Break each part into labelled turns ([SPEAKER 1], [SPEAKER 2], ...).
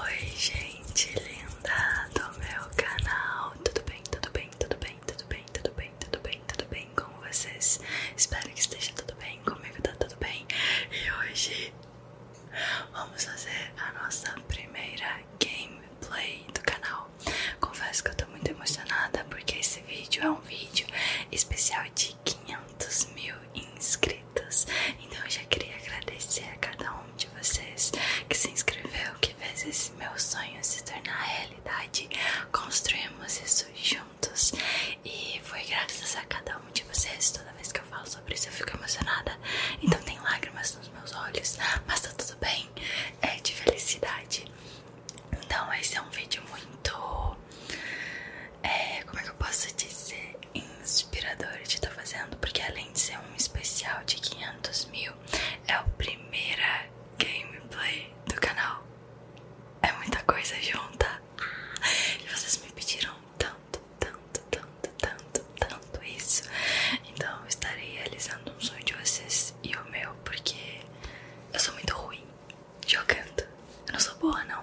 [SPEAKER 1] Oi gente linda do meu canal, tudo bem, tudo bem, tudo bem, tudo bem, tudo bem, tudo bem, tudo bem com vocês? Espero que esteja tudo bem, comigo tá tudo bem E hoje vamos fazer a nossa primeira gameplay do canal Confesso que eu tô muito emocionada porque esse vídeo é um vídeo especial de 500 mil inscritos então eu já queria agradecer a cada um de vocês que se inscreveu, que fez esse meu sonho se tornar realidade. Construímos isso juntos e foi graças a cada um de vocês. Toda vez que eu falo sobre isso eu fico emocionada. Então tem lágrimas nos meus olhos, mas tá tudo bem, é de felicidade. Então esse é um vídeo muito é, como é que eu posso dizer, inspirador de estar tá fazendo, porque além de ser um especial de 500 mil, é a primeira gameplay do canal. É muita coisa junta. E vocês me pediram tanto, tanto, tanto, tanto, tanto isso. Então eu estarei realizando um sonho de vocês e o meu, porque eu sou muito ruim jogando. Eu não sou boa, não.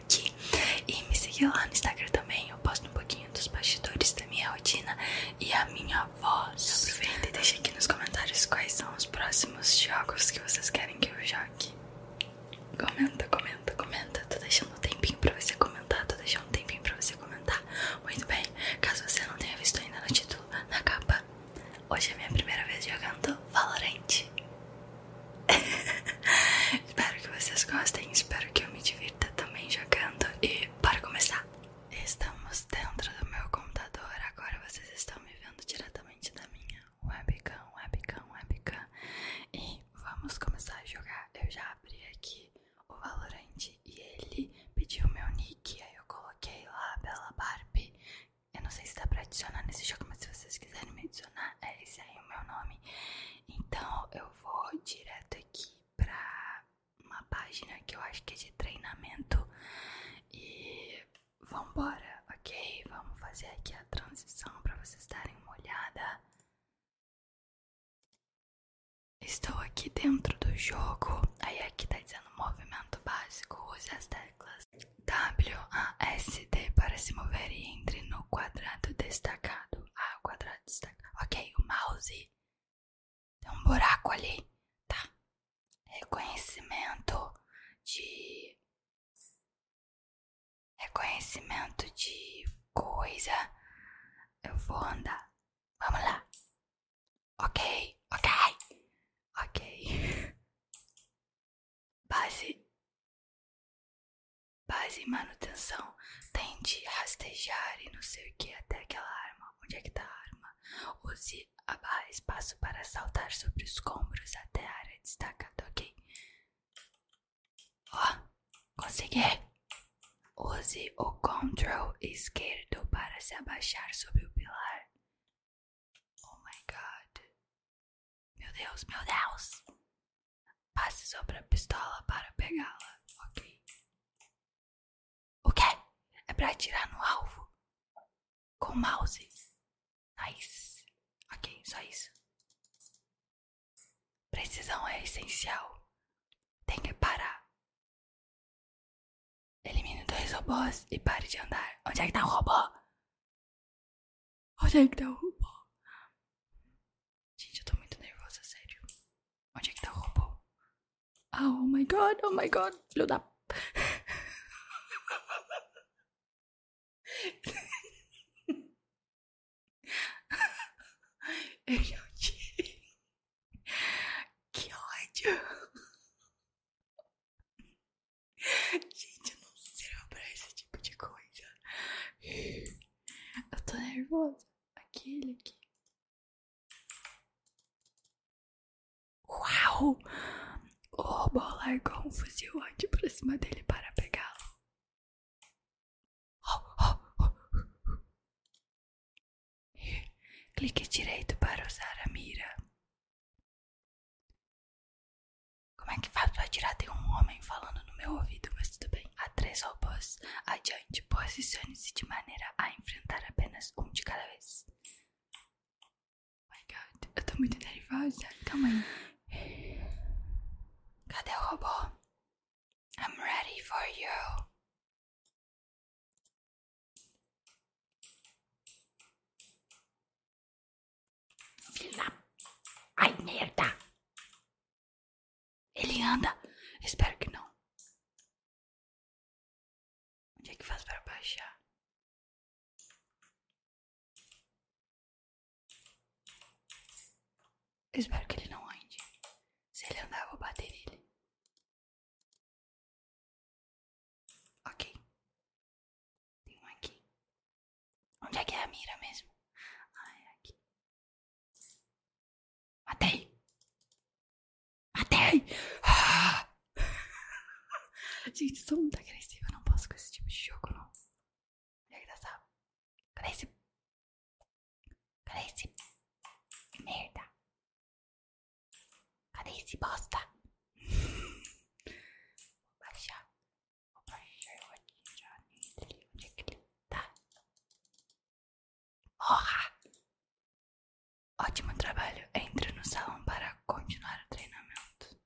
[SPEAKER 1] e me seguir lá no Instagram também. Eu posto um pouquinho dos bastidores da minha rotina e a minha voz. Aproveita e deixa aqui nos comentários quais são os próximos jogos que vocês querem que eu jogue. Comenta, comenta, comenta. Tô deixando um tempinho pra você comentar. Tô deixando um tempinho pra você comentar. Muito bem. Caso você não tenha visto ainda no título, na capa. Hoje é minha primeira vez jogando Valorant. espero que vocês gostem, espero que eu me divirta também jogando. E para começar, estamos dentro do meu computador. Agora vocês estão me vendo diretamente da minha webcam, webcam, webcam. E vamos começar a jogar. Eu já abri aqui o Valorant e ele pediu meu nick. Aí eu coloquei lá, Bela Barbie. Eu não sei se dá para adicionar nesse jogo, mas se vocês quiserem me adicionar, é isso aí o meu nome. Então eu vou direto aqui pra uma página que eu acho que é de treinamento. E vambora, ok? Vamos fazer aqui a transição para vocês darem uma olhada.
[SPEAKER 2] Estou aqui dentro do jogo.
[SPEAKER 1] Aí aqui tá dizendo movimento básico, use as teclas WASD para se mover e entre no quadrado destacado. Ah, quadrado destacado.
[SPEAKER 2] Ok, o mouse. Tem um buraco ali. Tá. Reconhecimento de.
[SPEAKER 1] Reconhecimento de coisa. Eu vou andar. Vamos lá.
[SPEAKER 2] Ok, ok. Ok. Base. Base e manutenção.
[SPEAKER 1] Tente rastejar e não sei o que até aquela arma. Onde é que tá a arma? Use a barra espaço para saltar sobre os escombros até a área destacada, ok? Ó, consegui! Use o control esquerdo para se abaixar sobre o pilar. Oh my
[SPEAKER 2] god. Meu Deus, meu Deus. Passe sobre a pistola para pegá-la, ok?
[SPEAKER 1] O quê? É pra atirar no alvo? Com mouse? Nice. Ok, só isso. Precisão é essencial.
[SPEAKER 2] Tem que parar. Elimine dois robôs e pare de andar. Onde é que tá o robô? Onde é que tá o robô? Gente, eu tô muito nervosa, sério. Onde é que tá o robô? Ah, oh my god, oh my god, filho da. Eu não te... Que ódio! Gente, eu não sirvo pra
[SPEAKER 1] esse tipo de
[SPEAKER 2] coisa. Eu tô nervosa. Aquele aqui. Uau! O robô largou um fuzil antes pra cima dele para pegá-lo. Oh, oh, oh. Clique direito para usar a mira. Como é que faz pra tirar? Tem um homem falando no meu ouvido, mas tudo bem. Há três robôs adiante.
[SPEAKER 1] Posicione-se de maneira a enfrentar apenas um de cada vez.
[SPEAKER 2] Oh my god, eu tô muito nervosa. Calma aí. Cadê o robô? I'm ready for you. Filha. Ai, merda. Ele anda. Espero que não. Onde é que faz para baixar? espero que ele não ande. Se ele andar, eu vou bater nele. Ok. Tem um aqui. Onde é que é a mira mesmo? ai aqui. Matei! Matei! Ah! Gente, sou muito agressiva. Não posso com esse tipo de jogo, não. É engraçado. Cadê esse... Cadê esse... Merda. Cadê esse bosta? Vou baixar. Opa, eu vou atirar Onde é que ele tá? Porra! Ótimo trabalho. Entre no salão para continuar o treinamento.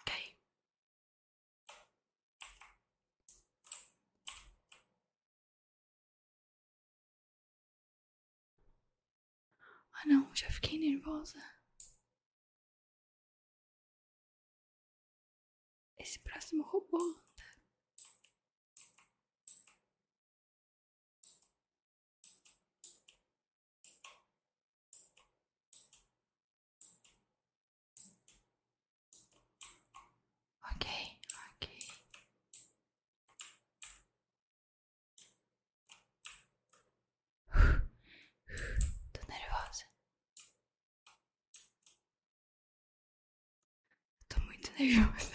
[SPEAKER 2] Ok. Ah não, já fiquei nervosa. Esse próximo robô anda. Ok, ok. Tô nervosa. Tô muito nervosa.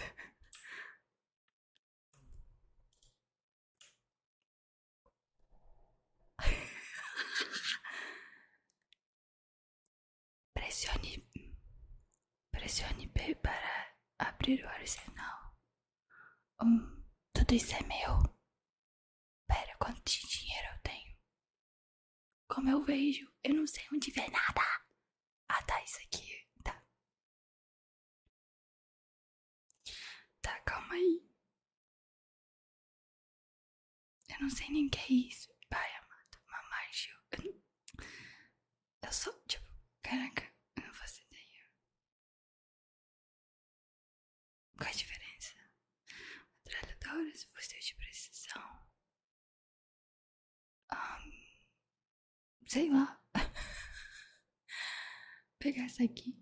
[SPEAKER 2] Pressione,
[SPEAKER 1] pressione B para abrir o arsenal. Hum, tudo isso é meu. Pera, quanto dinheiro eu tenho?
[SPEAKER 2] Como eu vejo, eu não sei onde ver nada. Ah, tá, isso aqui. Tá. Tá, calma aí. Eu não sei nem o que é isso. Pai amado, mamãe, Gil. Eu, não... eu sou, tipo, caraca, eu não faço ideia. Qual a diferença? Metralhadoras, fuzil é de precisão. Um, sei lá. Pegar essa aqui.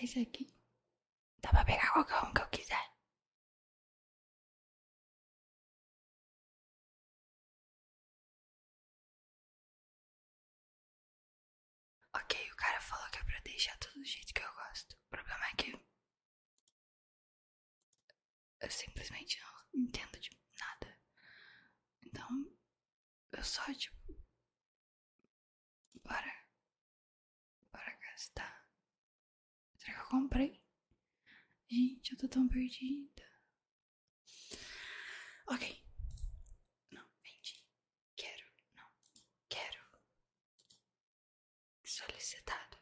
[SPEAKER 2] Esse aqui. Dá pra pegar qualquer um que eu quiser. Ok, o cara falou que é pra deixar tudo do jeito que eu gosto. O problema é que. Eu simplesmente não entendo de nada. Então. Eu só, tipo. Bora. Bora gastar Será que eu comprei? Gente, eu tô tão perdida. Ok. Não, vende. Quero. Não. Quero. Solicitado.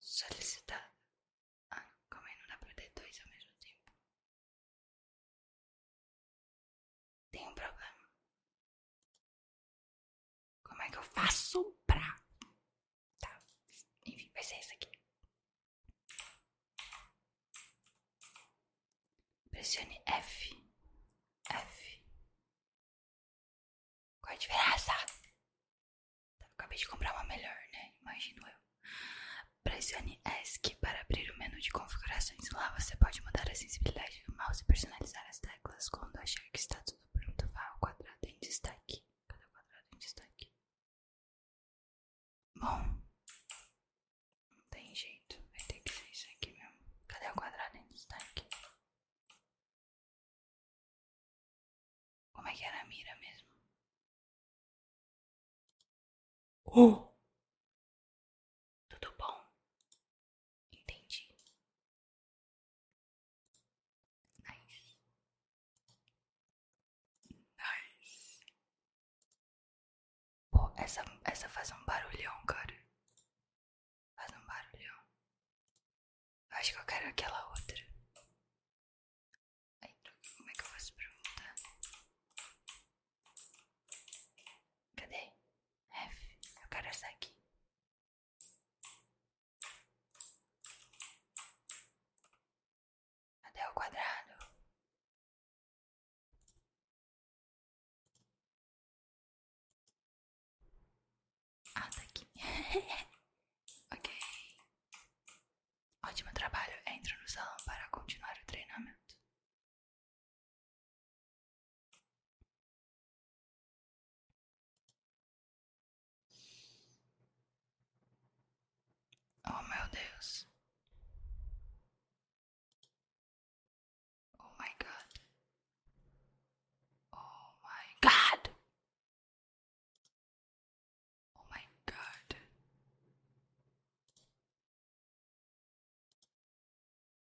[SPEAKER 2] Solicitado. Ah, como é? Não dá pra ter dois ao mesmo tempo. Tem um problema. Como é que eu faço pra. Tá. Enfim, vai ser isso aqui. Pressione F. F. Qual é a diferença? Tá, acabei de comprar uma melhor, né? Imagino eu.
[SPEAKER 1] Pressione ESC para abrir o menu de configurações. Lá você pode mudar a sensibilidade do mouse e personalizar as teclas quando achar que está tudo do Pronto vá o quadrado em destaque. Cadê o quadrado em destaque? Bom, não tem jeito, vai ter
[SPEAKER 2] que ser isso aqui mesmo. Cadê o quadrado em destaque? Como é que era a mira mesmo? Oh! Tudo bom? Entendi. Nice. Nice. Pô, essa, essa faz um barulhão, cara. Faz um barulhão. Acho que eu quero aquela outra. Ai, como é que eu faço pra voltar? Cadê? F. Eu quero essa aqui. Cadê o quadrado? Ah, tá aqui. ok. Ótimo trabalho. Entro no salão para continuar o treinamento. Oh meu Deus. Oh my god. Oh my god. Oh my god.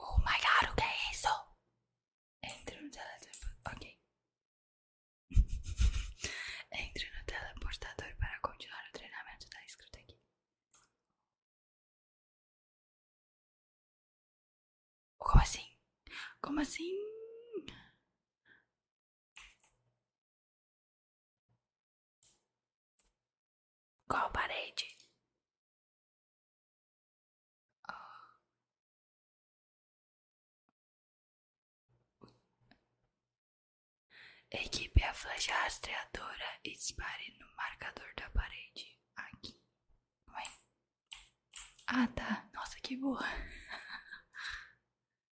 [SPEAKER 2] Oh my god, o que é isso? Entre no teleportador. Ok. Entre no teleportador para continuar o treinamento da escrita aqui. Como assim? Como assim? Qual parede? Equipe a flecha rastreadora e dispare no marcador da
[SPEAKER 1] parede. Aqui. Ué? Ah, tá. Nossa, que boa.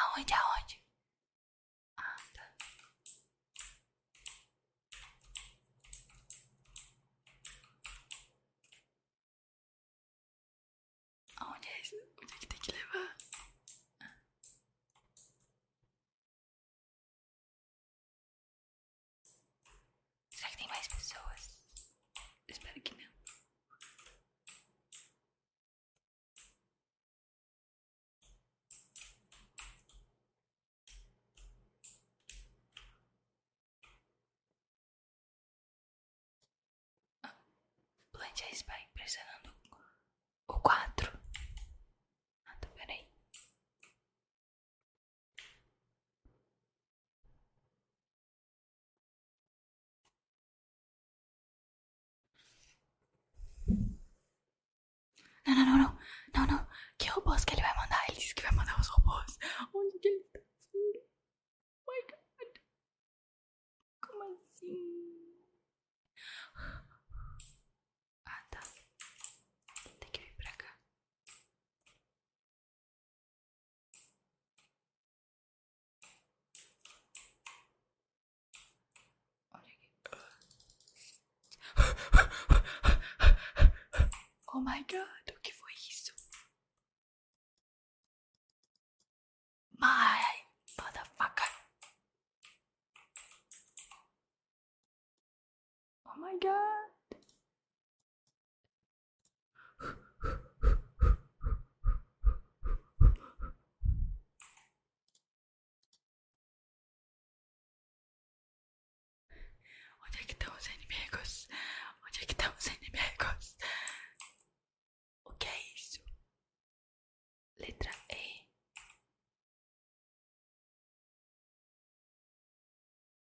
[SPEAKER 2] Aonde, aonde? Ah, tá. Aonde é isso? Onde é que tem que levar? Ah. Será que tem mais pessoas? Espero que não. Ah, a está impressionando o quatro. Ah, espera tá, aí. Não, não, não, não. Não, não. Que robôs que ele vai mandar? Ele disse que vai mandar os robôs. Onde que ele tá assim? oh My God. Como assim? Ah, tá. Tem que vir pra cá. Oh my god, o que foi isso? My motherfucker. Oh my god. Onde é que estão os inimigos? Onde é que estão os inimigos? O que é isso? Letra E.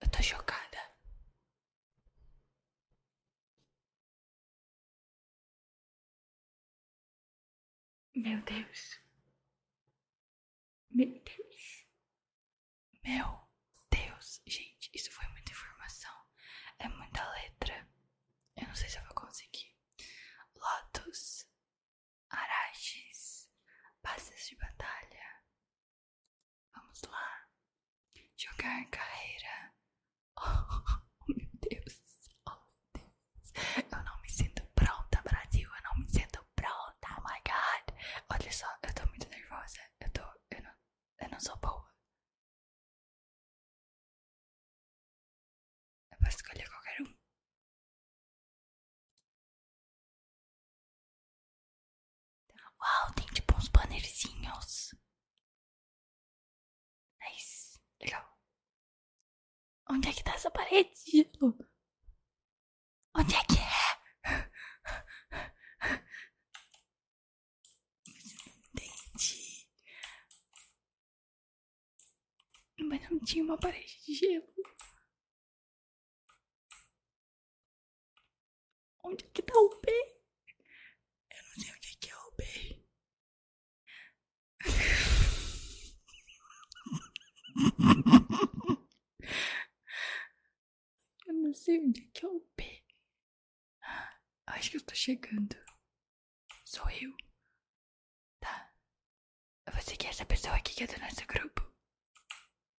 [SPEAKER 2] Eu tô chocada. Meu Deus. Meu Deus. Meu Deus. Gente, isso foi muita informação. É
[SPEAKER 1] muita letra. Eu não sei se eu vou conseguir. Lotus, araches, passes de batalha, Vamos lá. Jogar carreira. Oh, meu Deus. Oh, meu Deus. Eu não me sinto pronta, Brasil. Eu não me sinto pronta.
[SPEAKER 2] Oh, my God. Olha só, eu tô muito nervosa. Eu tô... Eu não, eu não sou boa. Eu posso escolher qualquer um. Uau, tem tipo uns bannerzinhos. Nice. Legal. Onde é que tá essa parede, Gilo? Onde é que é? Entendi. Mas não tinha uma parede de gelo. Onde é que tá o peixe? É é eu não sei onde é que é o peixe. Eu não sei onde é que é o peixe. Acho que eu tô chegando. Sou eu. Tá. Você que é essa pessoa aqui que é do nosso grupo?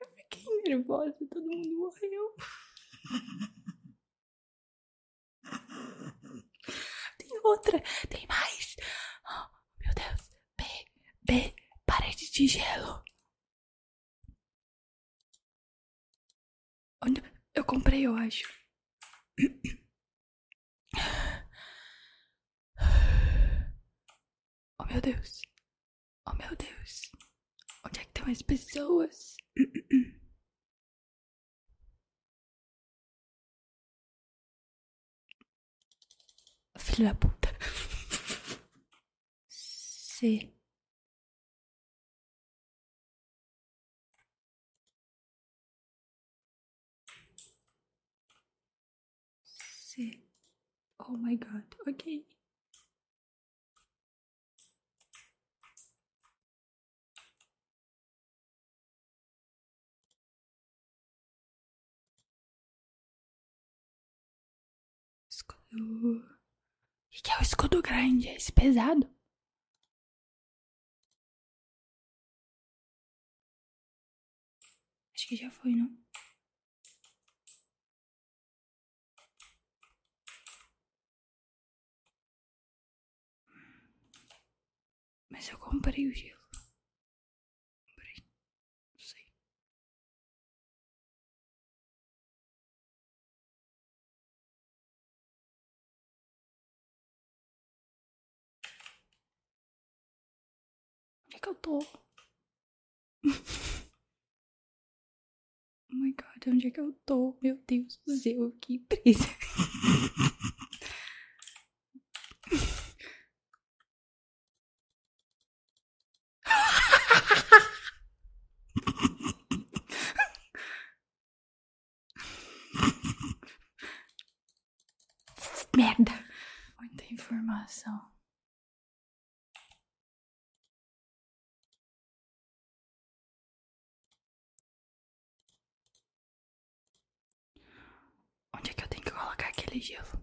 [SPEAKER 2] Eu fiquei nervosa, todo mundo morreu. Tem outra, tem mais. Oh, meu Deus. B, B, parede de gelo. Onde eu comprei, eu acho. Oh meu Deus. Oh meu Deus. Onde é que tem mais pessoas? Filha da puta. C. C. Oh my god, ok. Escudo. O que é o escudo grande? É esse pesado? Acho que já foi, não? Mas eu comprei o gelo. Comprei. Onde é que eu tô? oh my god, onde é que eu tô? Meu Deus do céu, que presa. Merda! Muita informação. Onde é que eu tenho que colocar aquele gelo?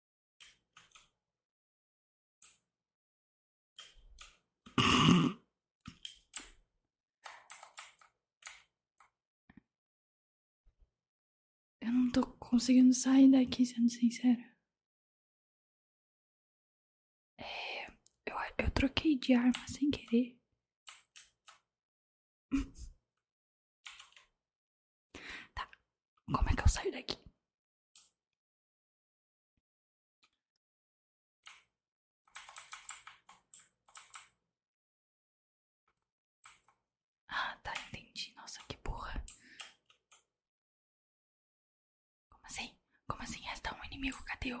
[SPEAKER 2] Eu não tô conseguindo sair daqui, sendo sincera. É, eu, eu troquei de arma sem querer. Tá, como é que eu saio daqui? Ah, tá, entendi. Nossa, que burra. Como assim? Como assim? Resta um inimigo, cadê eu?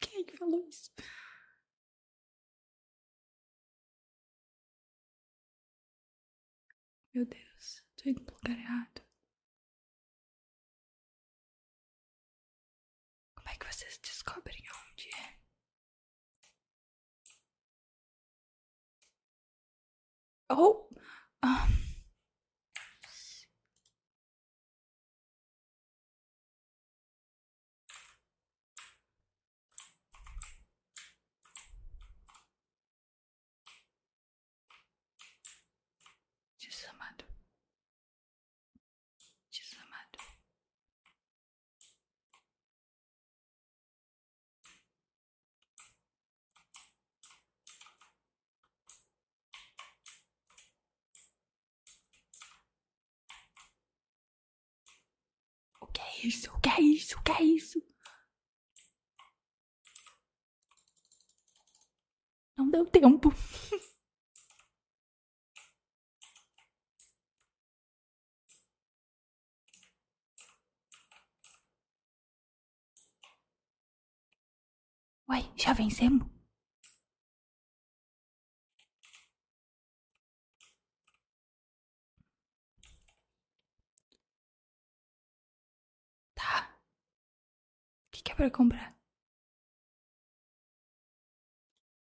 [SPEAKER 2] Quem é que falou isso? Meu Deus, tô indo pro lugar errado. Como é que vocês descobrem onde é? Oh! Um. Ah. Desamado, desamado, o que é isso? O que é isso? O que é isso? Não deu tempo. Uai, já vencemos? Tá. O que, é para comprar?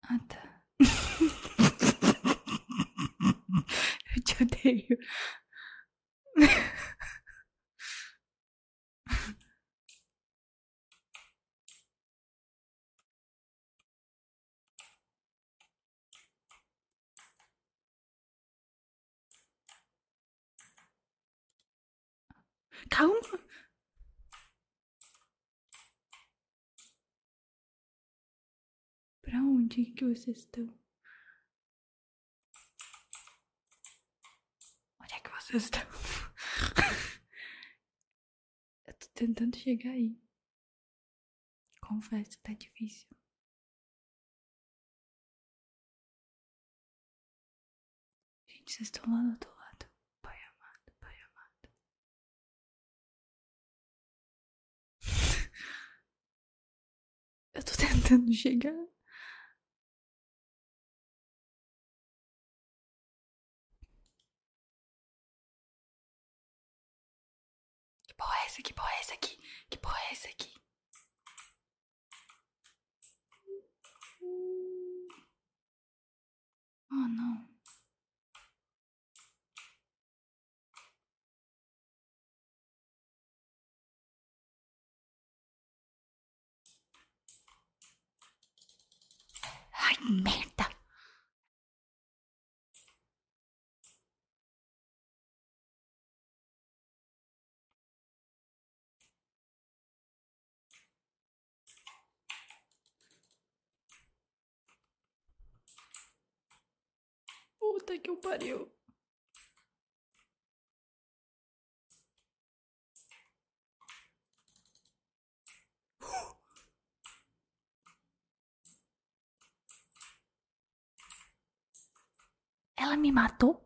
[SPEAKER 2] Ah, tá. Eu te odeio. Calma. para onde que vocês estão?
[SPEAKER 1] Onde é que vocês estão?
[SPEAKER 2] Eu tô tentando chegar aí. Confesso, tá difícil. Gente, vocês estão lá do outro lado. Pai amado, pai amado. Eu tô tentando chegar. Que porra é essa? Que porra é essa aqui? Que porra é essa aqui? Oh, não. Ai, merda! Puta que eu pariu. Ela me matou?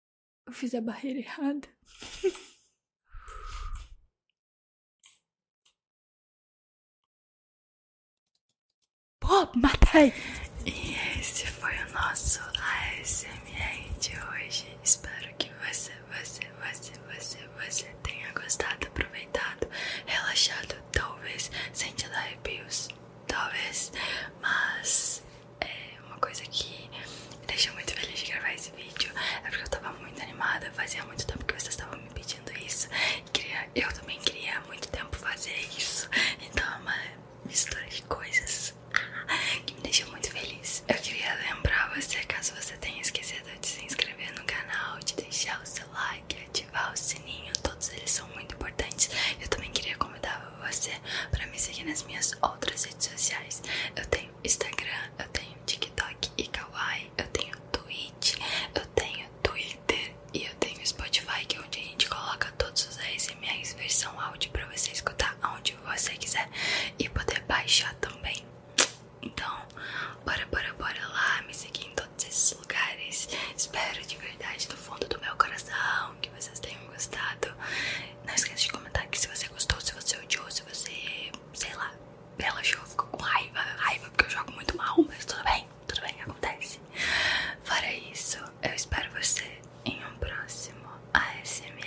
[SPEAKER 2] Eu fiz a barreira errada. Pô, matei! E esse foi o nosso ASMR de
[SPEAKER 1] hoje. Espero que você, você, você, você, você tenha gostado, aproveitado, relaxado, talvez sentido arrepios, talvez, mas é uma coisa que me deixou muito feliz de gravar esse vídeo é porque eu tava muito animada, fazia muito tempo que vocês estavam me pedindo isso queria, eu também queria há muito tempo fazer isso, então é uma mistura de coisas que me deixou muito feliz eu queria lembrar você, caso você tenha esquecido de se inscrever no canal, de deixar o seu like, ativar o sininho, todos eles são muito importantes eu também queria convidar você para me seguir nas minhas outras redes sociais. Eu tenho Instagram, eu tenho TikTok e Kawaii, eu tenho Twitch, eu tenho Twitter e eu tenho Spotify, que é onde a gente coloca todos os ASMRs versão áudio para você escutar onde você quiser e poder baixar também. Então, bora, bora, bora lá, me seguir em todos esses lugares. Espero de verdade do fundo do meu coração que vocês tenham gostado. Não esqueça de comentar aqui se você gostou, se você odiou, se você, sei lá, relaxou, ficou com raiva, raiva porque eu jogo muito mal, mas tudo bem, tudo bem, acontece. Fora isso, eu espero você em um próximo ASMR.